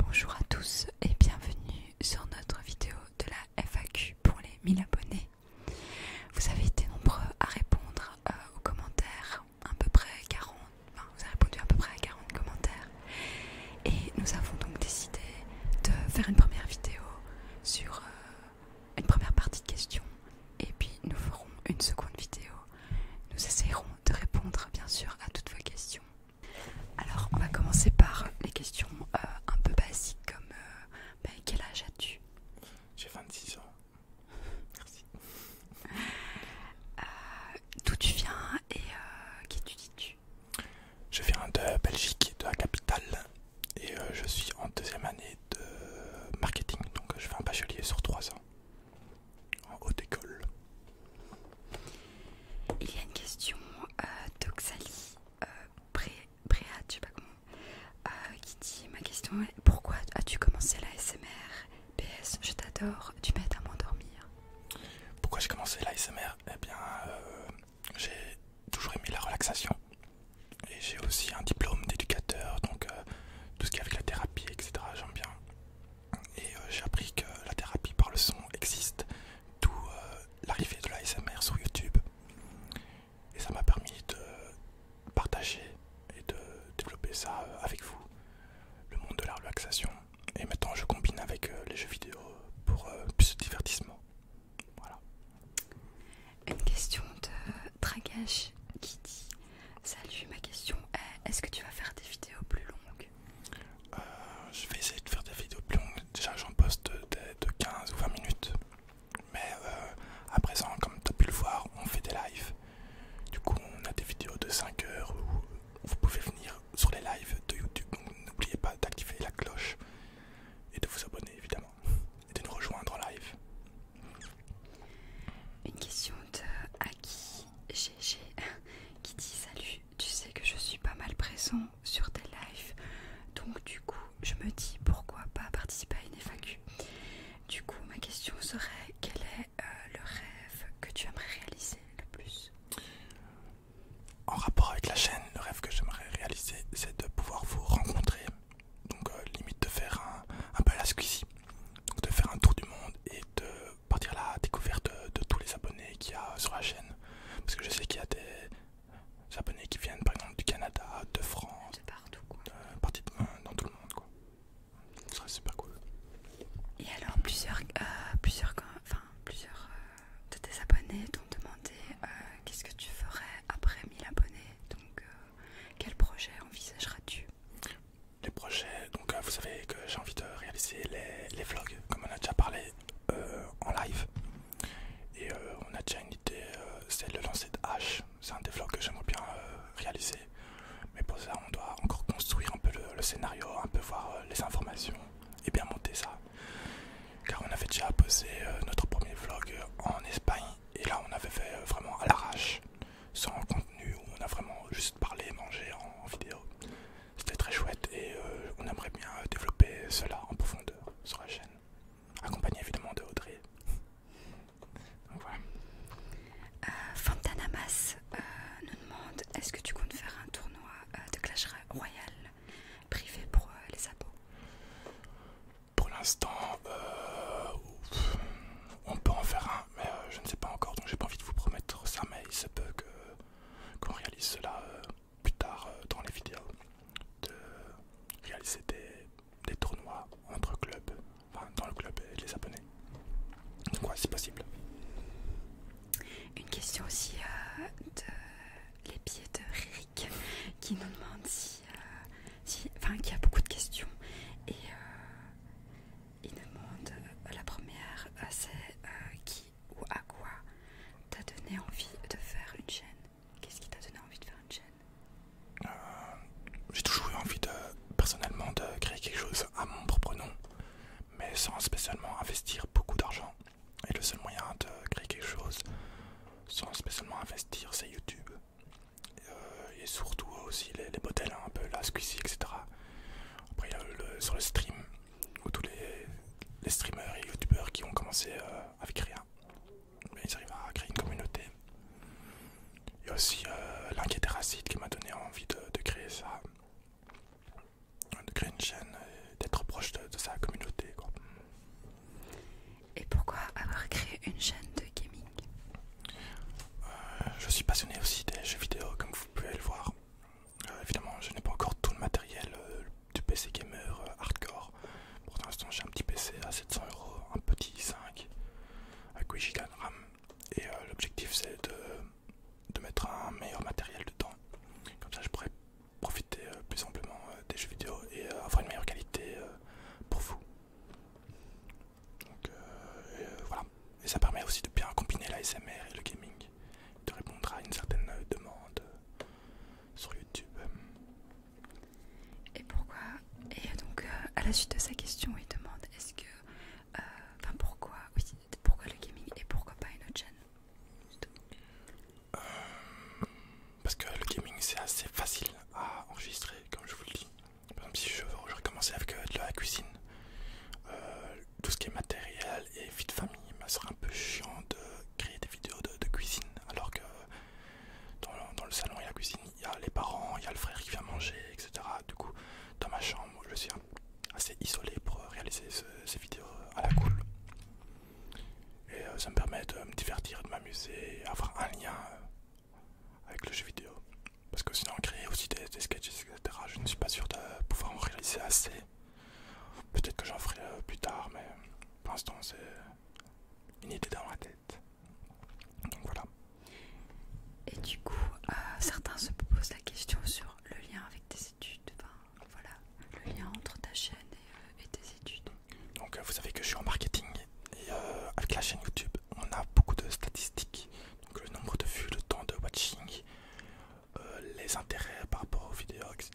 Bonjour à tous et bienvenue sur notre vidéo de la FAQ pour les 1000 abonnés. Vous avez été nombreux à répondre euh, aux commentaires, à peu près 40, enfin, vous avez répondu à peu près à 40 commentaires et nous avons donc décidé de faire une première vidéo sur euh, une première partie de questions et puis nous ferons une seconde vidéo. Nous essayerons de répondre bien sûr à toutes vos questions alors, on va commencer par les questions euh, un peu basiques comme euh, bah, quel âge as-tu J'ai 26 ans. Merci. Euh, d'où tu viens et qui étudies-tu Je viens de Belgique, de la capitale, et je suis en deuxième année de marketing, donc je fais un bachelier sur trois ans en haute école. Il y a une question euh, d'Oxali euh, je sais pas comment, euh, qui dit ma question est pourquoi as-tu commencé la SMR PS, je t'adore, tu m'aides à m'endormir. Pourquoi j'ai commencé la SMR Eh bien, euh, j'ai toujours aimé la relaxation et j'ai aussi un diplôme d'éducateur, donc tout ce qui est avec la thérapie, etc. J'aime bien. Et euh, j'ai appris que la thérapie par le son existe, d'où euh, l'arrivée de l'ASMR sur YouTube. Et ça m'a permis de partager et de développer ça euh, avec vous, le monde de la relaxation. Et maintenant je combine avec les jeux vidéo pour plus de divertissement. Voilà. Une question de Dragash qui dit Salut, ma question est est-ce que tu vas faire des vidéos plus longues euh, je vais essayer de faire des vidéos plus longues. Déjà, j'en poste de, 15 ou 20 minutes. Mais euh, à présent, comme tu as pu le voir, on fait des lives. Du coup, on a des vidéos de 5 heures où vous pouvez venir sur les lives de YouTube. Donc, n'oubliez pas d'activer la cloche et de vous abonner, évidemment, et de nous rejoindre en live. Une question de Aki GG qui dit Salut, tu, sais que je suis pas mal présent sur tes lives, donc du coup je me dis pourquoi pas participer à une FAQ. Du coup ma question serait quel est euh, le rêve que tu aimerais réaliser le plus En rapport avec la chaîne, le rêve que j'aimerais réaliser c'est de pouvoir vous rencontrer, donc euh, limite de faire un, un peu la de faire un tour du monde et de partir la découverte de, tous les abonnés qu'il y a sur la chaîne. Parce que je sais qu'il y a des abonnés qui viennent par exemple du Canada, de France, de partout quoi. Euh, dans tout le monde quoi. Ce serait super cool. Et alors plusieurs, euh, plusieurs, enfin plusieurs euh, de tes abonnés t'ont demandé qu'est-ce que tu ferais après 1000 abonnés. Donc quel projet envisageras-tu Les projets donc euh, vous savez que j'ai envie de réaliser les, vlogs, comme on a déjà parlé euh, en live. Et euh, on a déjà une idée, c'est le lancer de H. C'est un des vlogs que j'aimerais bien réaliser. Mais pour ça, on doit encore construire un peu le, scénario, un peu voir les informations et bien monter ça. Car on avait déjà posé notre premier vlog en Espagne et là on avait fait vraiment à l'arrache, sans contenu où on a vraiment juste parlé mangé en vidéo. C'était très chouette et euh, on aimerait bien euh, développer cela en profondeur sur la chaîne. Accompagné évidemment de Audrey. Donc voilà. Euh, Fantanamas nous demande est-ce que tu comptes faire un tournoi de Clash Royale privé pour les abos Pour l'instant, on peut en faire un, mais je ne sais pas encore donc j'ai pas envie de vous promettre ça. Mais il se peut que qu'on réalise cela euh, plus tard euh, dans les vidéos, de réaliser des, tournois entre clubs, enfin dans le club et les abonnés. Donc c'est possible. Une question aussi euh, de les pieds de Rick qui nous demande si, enfin qui a beaucoup de questions et il demande la première c'est qui ou à quoi t'as donné envie de faire une chaîne Qu'est-ce qui t'a donné envie de faire une chaîne euh, J'ai toujours eu envie de, personnellement de créer quelque chose à mon propre nom, mais sans spécialement investir beaucoup d'argent. Et le seul moyen de créer quelque chose sans spécialement investir, c'est YouTube. Euh, et, surtout aussi les, modèles, hein, un peu la SQC, etc. Après, il y sur le stream, ou tous les, streamers et youtubeurs qui ont commencé euh, avec rien. ils arrivent à créer une communauté. Il y a aussi euh, l'inquiétude raciste qui m'a donné envie de, créer ça, de créer une chaîne d'être proche de, sa communauté. Quoi. Et pourquoi avoir créé une chaîne de gaming euh, Je suis passionné aussi des jeux vidéo, comme vous pouvez le voir. Euh, évidemment, je n'ai pas encore tout le matériel euh, du PC gamer euh, hardcore. Pour l'instant, j'ai un petit PC à 700 euros, un petit i5 à 8 Go de RAM. Et l'objectif, c'est de, mettre un meilleur matériel dedans. Comme ça, je pourrais profiter plus simplement des jeux vidéo et avoir une meilleure qualité pour vous. Donc voilà, et ça permet aussi de bien combiner la l'ASMR et le gaming, de répondre à une certaine demande sur YouTube. Et pourquoi Et donc, euh, à la suite de sa question, il demande est-ce que. Euh, enfin pourquoi pourquoi le gaming et pourquoi pas une autre chaîne euh, Parce que le gaming c'est assez facile à enregistrer, comme je vous le dis. Par exemple, si je veux avec de la cuisine, tout ce qui est matériel et vie de famille, me ça serait un peu chiant de créer des vidéos de, cuisine alors que dans le, dans le salon et la cuisine, il y a les parents, il y a le frère qui vient manger, etc. Du coup, dans ma chambre, je suis assez isolé pour réaliser ces vidéos à la cool. Et euh, ça me permet de me divertir, de m'amuser, avoir un lien euh, avec le jeu vidéo. Parce que sinon, créer aussi des, sketches, je ne suis pas sûr de pouvoir en réaliser assez. Peut-être que j'en ferai euh, plus tard, mais pour l'instant, c'est une idée dans ma tête. Donc voilà. Et du coup, euh, certains se posent la question sur le lien avec tes études, enfin voilà, le lien entre ta chaîne et, euh, tes études. Donc, vous savez que je suis en marketing et avec la chaîne YouTube, on a beaucoup de statistiques, donc le nombre de vues, le temps de watching, euh, les intérêts par rapport aux vidéos, etc.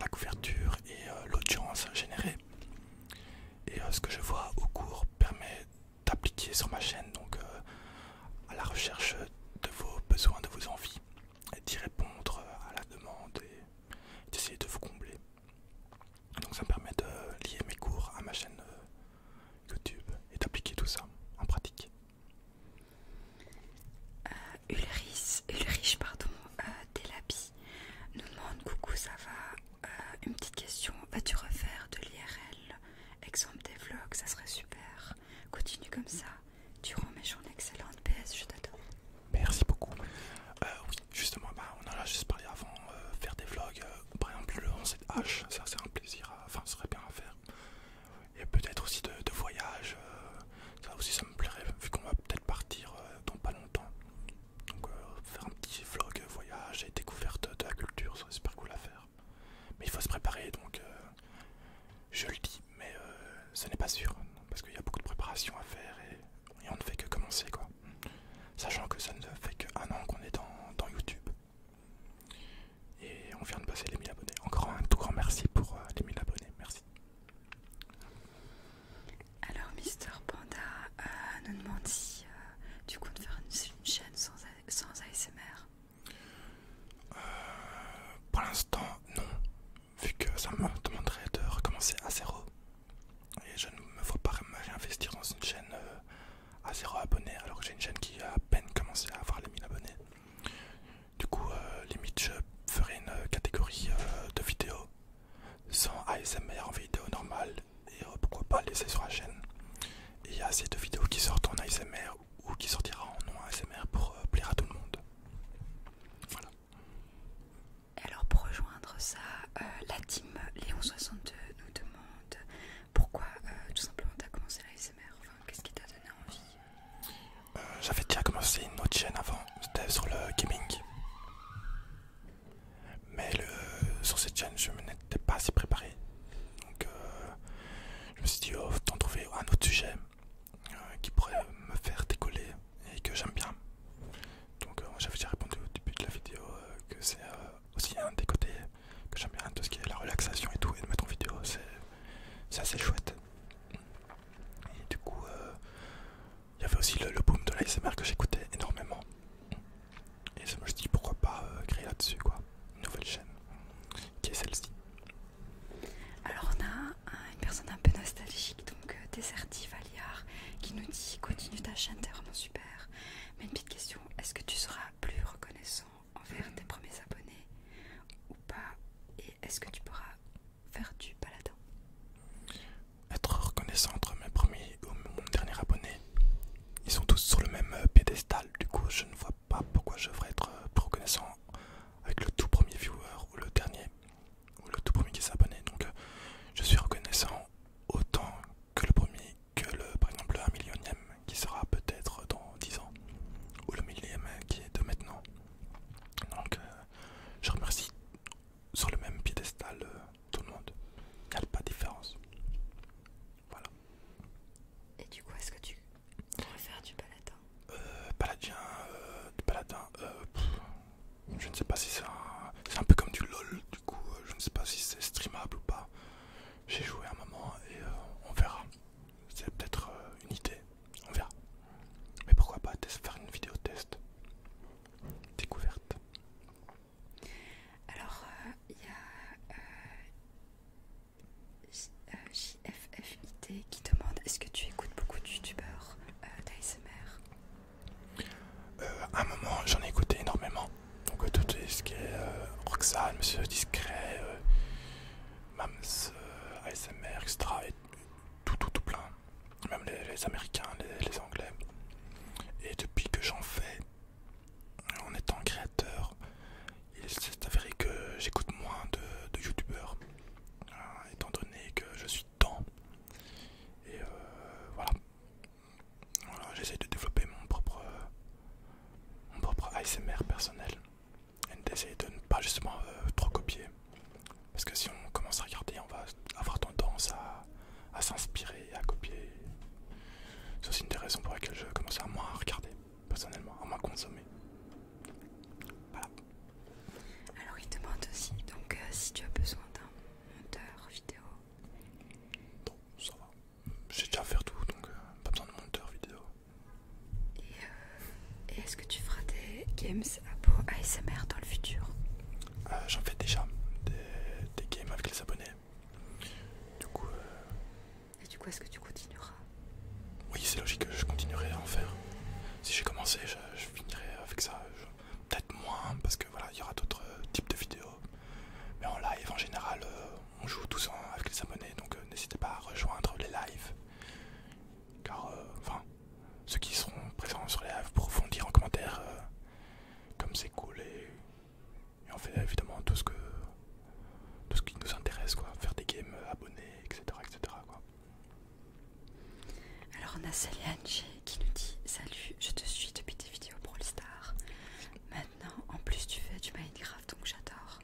La couverture et euh, l'audience générée. Et euh, ce que je vois au cours permet d'appliquer sur ma chaîne, donc à la recherche de vos besoins, de vos envies, d'y répondre à la demande et d'essayer de vous combler. Donc ça me permet de lier mes cours à ma chaîne YouTube et d'appliquer tout ça en pratique. Euh, Ulrich, Ulrich pardon, euh, nous demande coucou ça va, euh, une petite question, vas-tu refaire de l'IRL, exemple des vlogs, ça serait super, continue comme ça, tu rends mes journées excellentes, PS je t'adore. Merci beaucoup. oui, justement, bah, on en a juste parlé avant, faire des vlogs, par exemple le 11 H, ça c'est un plaisir, enfin ça serait bien à faire et peut-être aussi de, voyage. Euh, ça aussi, ça me plairait vu qu'on va peut-être partir euh, dans pas longtemps. Donc, euh, faire un petit vlog voyage et découverte de la culture, ça serait super cool à faire. Mais il faut se préparer donc, je le dis, mais ce n'est pas sûr parce qu'il y a beaucoup de préparation à faire et, on ne fait que commencer quoi. Sachant que ça ne fait qu'un an qu'on est dans YouTube, et on vient de passer les 1000 abonnés. Encore un tout grand merci pour euh, les 1000 abonnés. Merci. Alors, Mister Panda euh, nous demande si euh, coup de faire une, chaîne sans, ASMR. pour l'instant, non. Vu que ça me demanderait de recommencer à zéro. Et je ne me vois pas réinvestir dans une chaîne à zéro abonnés alors que j'ai une chaîne qui a à peine commencé à avoir les 1000 abonnés. Du coup, euh, limite, je ferai une euh, catégorie euh, de vidéos sans ASMR en vidéo normale et pourquoi pas laisser sur la chaîne. Et il y a assez de vidéos qui sortent en ASMR ou qui sortira en non ASMR pour plaire à tout le monde. Voilà. Alors pour rejoindre ça, la team Léon62 nous demande pourquoi euh, tout simplement t'as commencé la Qu'est-ce qui t'a donné envie euh, J'avais déjà commencé une autre chaîne avant, c'était sur le gaming. Mais le, sur cette chaîne, je n'étais pas assez préparé. Donc euh, je me suis dit, oh, trouver un autre sujet qui pourrait me faire décoller et que j'aime bien. Donc j'avais déjà répondu au début de la vidéo que c'est aussi un des côtés que j'aime bien, tout ce qui est la relaxation et tout, et de mettre en vidéo, c'est assez chouette. Et du coup, euh, il y avait aussi le, boom de l'ASMR que j'écoutais énormément. Et je me suis dit pourquoi pas euh, créer là-dessus quoi, une nouvelle chaîne qui est celle-ci. Alors on a une personne un peu nostalgique, donc euh, Deserti qui nous dit continue ta chaîne, t'es vraiment super. Mais une petite question, est-ce que tu seras plus reconnaissant envers tes premiers abonnés ou pas Et est-ce que tu pourras faire du paladin Être reconnaissant entre mes premiers ou mon dernier abonné, ils sont tous sur le même euh, pédestal, du coup je ne vois pas pourquoi je devrais être euh, reconnaissant avec le tout premier viewer ou le dernier ou le tout premier qui s'est abonné. Donc euh, je suis reconnaissant autant que le premier, que le par exemple le 1 millionième qui sera peut-être dans 10 ans, ou le millième qui est de maintenant. Donc euh, je remercie sur le même piédestal euh, tout le monde. Il n'y a pas de différence. Voilà. Et du coup, est-ce que tu préfères du paladin euh, Paladin, euh, du paladin, je ne sais pas si c'est un... C'est un peu comme du LOL, du coup, je ne sais pas si c'est streamable ou pas. J'ai joué un moment et on verra. C'est peut-être euh, une idée, on verra. Mais pourquoi pas faire une vidéo test découverte Alors, euh, il y a euh, qui demande est-ce que tu écoutes beaucoup de youtubeurs d'ASMR À un moment, j'en ai écouté énormément. Donc, tout ce qui est Roxane, Monsieur Discret, Mams, euh, ASMR, etc. Et tout, tout, tout plein. Même les, Américains, les, Anglais. Et depuis que j'en fais, en étant créateur, il s'est avéré que j'écoute moins de, youtubeurs, hein, étant donné que je suis temps. Et euh, voilà. voilà J'essaie de développer mon propre, mon propre ASMR personnel et d'essayer de ne pas justement euh, trop copier. Parce que si on commence à regarder, on va avoir tendance à, à s'inspirer et à copier. C'est aussi une des raisons pour lesquelles je commence à moins regarder, personnellement, à moins consommer. Voilà. Alors il demande aussi donc euh, si tu as besoin d'un monteur vidéo. ça va. J'ai déjà à faire tout, donc euh, pas besoin de monteur vidéo. Euh, et, est-ce que tu feras des games à ASMR dans le futur euh, J'en fais déjà, des, games avec les abonnés. Du coup... Et du coup, est-ce que tu continueras Oui, c'est logique, je continuerai à en faire. Si j'ai commencé, je, finirai avec ça. Peut-être moins, parce que voilà, il y aura d'autres types de vidéos. Mais en live, en général on joue tous ensemble avec les abonnés, donc euh, n'hésitez pas à rejoindre les lives. Car, euh, enfin, ceux qui seront présents sur les lives pourront dire en commentaire euh, comme c'est cool et, on fait évidemment tout ce que tout ce qui nous intéresse, quoi. Faire des games, abonnés, etc., etc. Alors on a Céliane qui nous dit Salut, je te suis depuis des vidéos pour Brawl Stars. Maintenant, en plus tu fais du Minecraft, donc j'adore.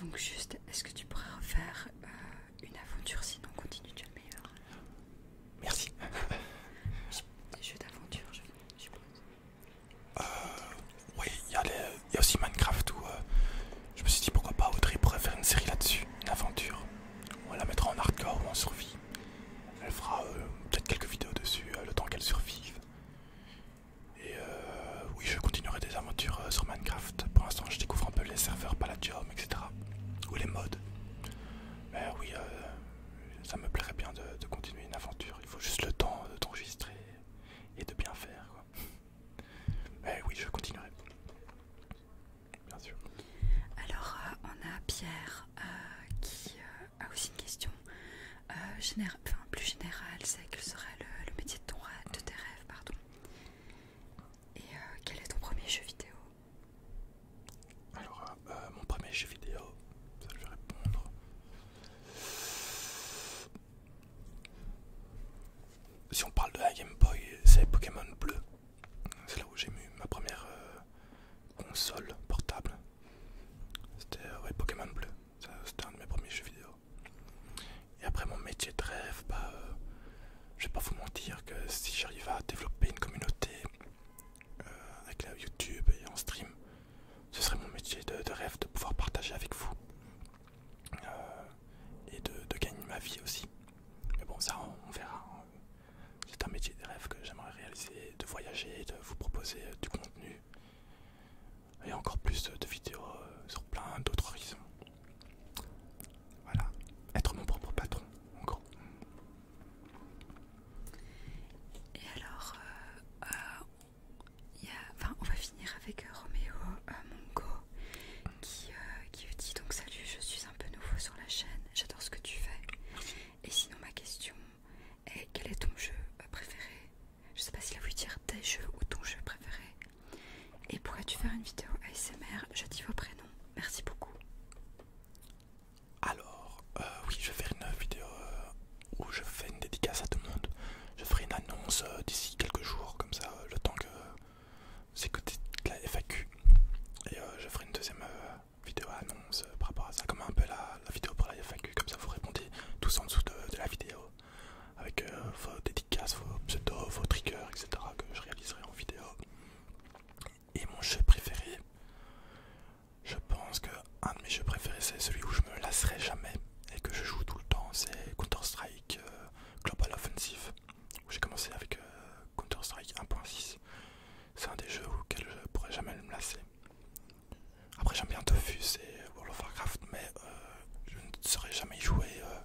Donc juste, est-ce que tu pourrais refaire euh, une aventure sinon continue, tu es meilleur. Merci. Des jeux d'aventure, je, je pense. Euh, oui, il y, a aussi Minecraft où euh, je me suis dit pourquoi pas Audrey pourrait faire une série là-dessus, une aventure. On la mettra en hardcore ou en survie. Elle fera peut-être quelques vidéos dessus le temps qu'elle survive. Et euh, oui, je continuerai des aventures euh, sur Minecraft. Pour l'instant, je découvre un peu les serveurs Palladium, etc. Ou les modes. Mais oui, euh, ça me plairait bien de, continuer une aventure. Il faut juste le temps de t'enregistrer et de bien faire. Mais oui, je continuerai. Bien sûr. Alors, on a Pierre qui a aussi une question. Euh, plus général, c'est quel serait le, métier de, de tes rêves, pardon. Et euh, quel est ton premier jeu vidéo Alors, euh, mon premier jeu vidéo, ça je vais répondre. Si on parle de la Game Boy, c'est Pokémon Bleu. C'est là où j'ai eu ma première console portable. C'était Pokémon Bleu. C'était un de mes premiers jeux vidéo. Et après mon métier de rêve, je bah, euh, je vais pas vous mentir que si j'arrive à développer une communauté euh, avec la YouTube et en stream, ce serait mon métier de, rêve de pouvoir partager avec vous euh, et de, gagner ma vie aussi. Mais bon, ça on, verra. Hein. C'est un métier de rêve que j'aimerais réaliser, de voyager, de vous proposer du contenu il et encore plus de vidéos euh, sur plein d'autres horizons. Voilà, être mon propre patron, en gros. Et alors, euh, euh, on va finir avec Roméo Mongo qui, qui dit donc salut, je suis un peu nouveau sur la chaîne, j'adore ce que tu fais. Et sinon ma question est quel est ton jeu préféré je sais pas s'il a voulu dire tes jeux ou ton jeu préféré. Et pourrais-tu faire une vidéo ASMR Je dis vos prénoms. Merci beaucoup. Alors, euh, oui, je vais faire une vidéo euh, où je fais une dédicace à tout le monde. Je ferai une annonce euh, d'ici quelques jours, comme ça, le temps que c'est c'est de la FAQ. Et je ferai une deuxième vidéo annonce par rapport à ça, comme un peu la, vidéo pour la FAQ, comme ça vous répondez tous en dessous de la vidéo avec euh, vos dédicaces, vos pseudos, vos triggers, etc. que je réaliserai en vidéo. Et mon jeu préféré, je pense que un de mes jeux préférés c'est celui où je me lasserai jamais et que je joue tout le temps, c'est Counter-Strike euh, Global Offensive, où j'ai commencé avec euh, Counter-Strike 1.6. C'est un des jeux auxquels je ne pourrais jamais me lasser. Après j'aime bien Tofus et World of Warcraft mais euh, je ne saurais jamais y jouer euh,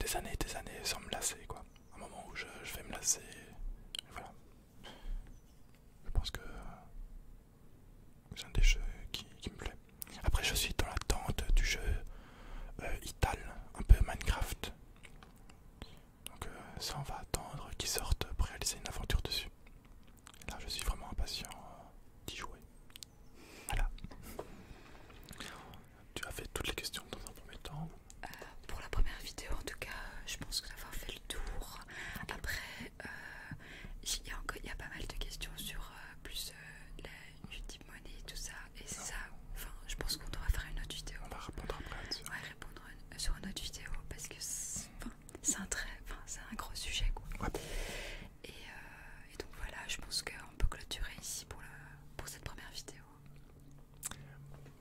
des années et des années sans me lasser quoi. Un moment où je, vais me lasser, voilà. Je pense que c'est un des jeux qui, me plaît. Après je suis dans l'attente du jeu euh, Ital, un peu Minecraft. Donc ça on va attendre qu'il sorte pour réaliser une aventure dessus. Là, je suis vraiment impatient euh, d'y jouer. Voilà. Tu as fait toutes les questions dans un premier temps euh, Pour la première vidéo, en tout cas, je pense que d'avoir fait le tour. Après, euh, il y, y a pas mal de questions sur plus la YouTube Money et tout ça. Et ah. ça. Enfin, je pense qu'on devra faire une autre vidéo. On va répondre après. On va répondre sur une autre vidéo parce que c'est un très, c'est un gros sujet quoi. Euh, et, donc voilà, je pense qu'on peut clôturer ici pour, pour cette première vidéo.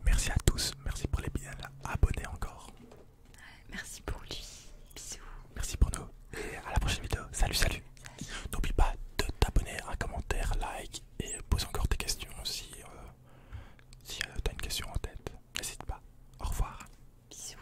Merci à tous, merci pour les bien abonnés encore. merci pour lui, bisous. Merci pour nous et à la prochaine vidéo. Salut, salut. N'oublie pas de t'abonner, un commentaire, like et pose encore tes questions si, tu euh, si euh, t'as une question en tête. N'hésite pas. Au revoir. Bisous.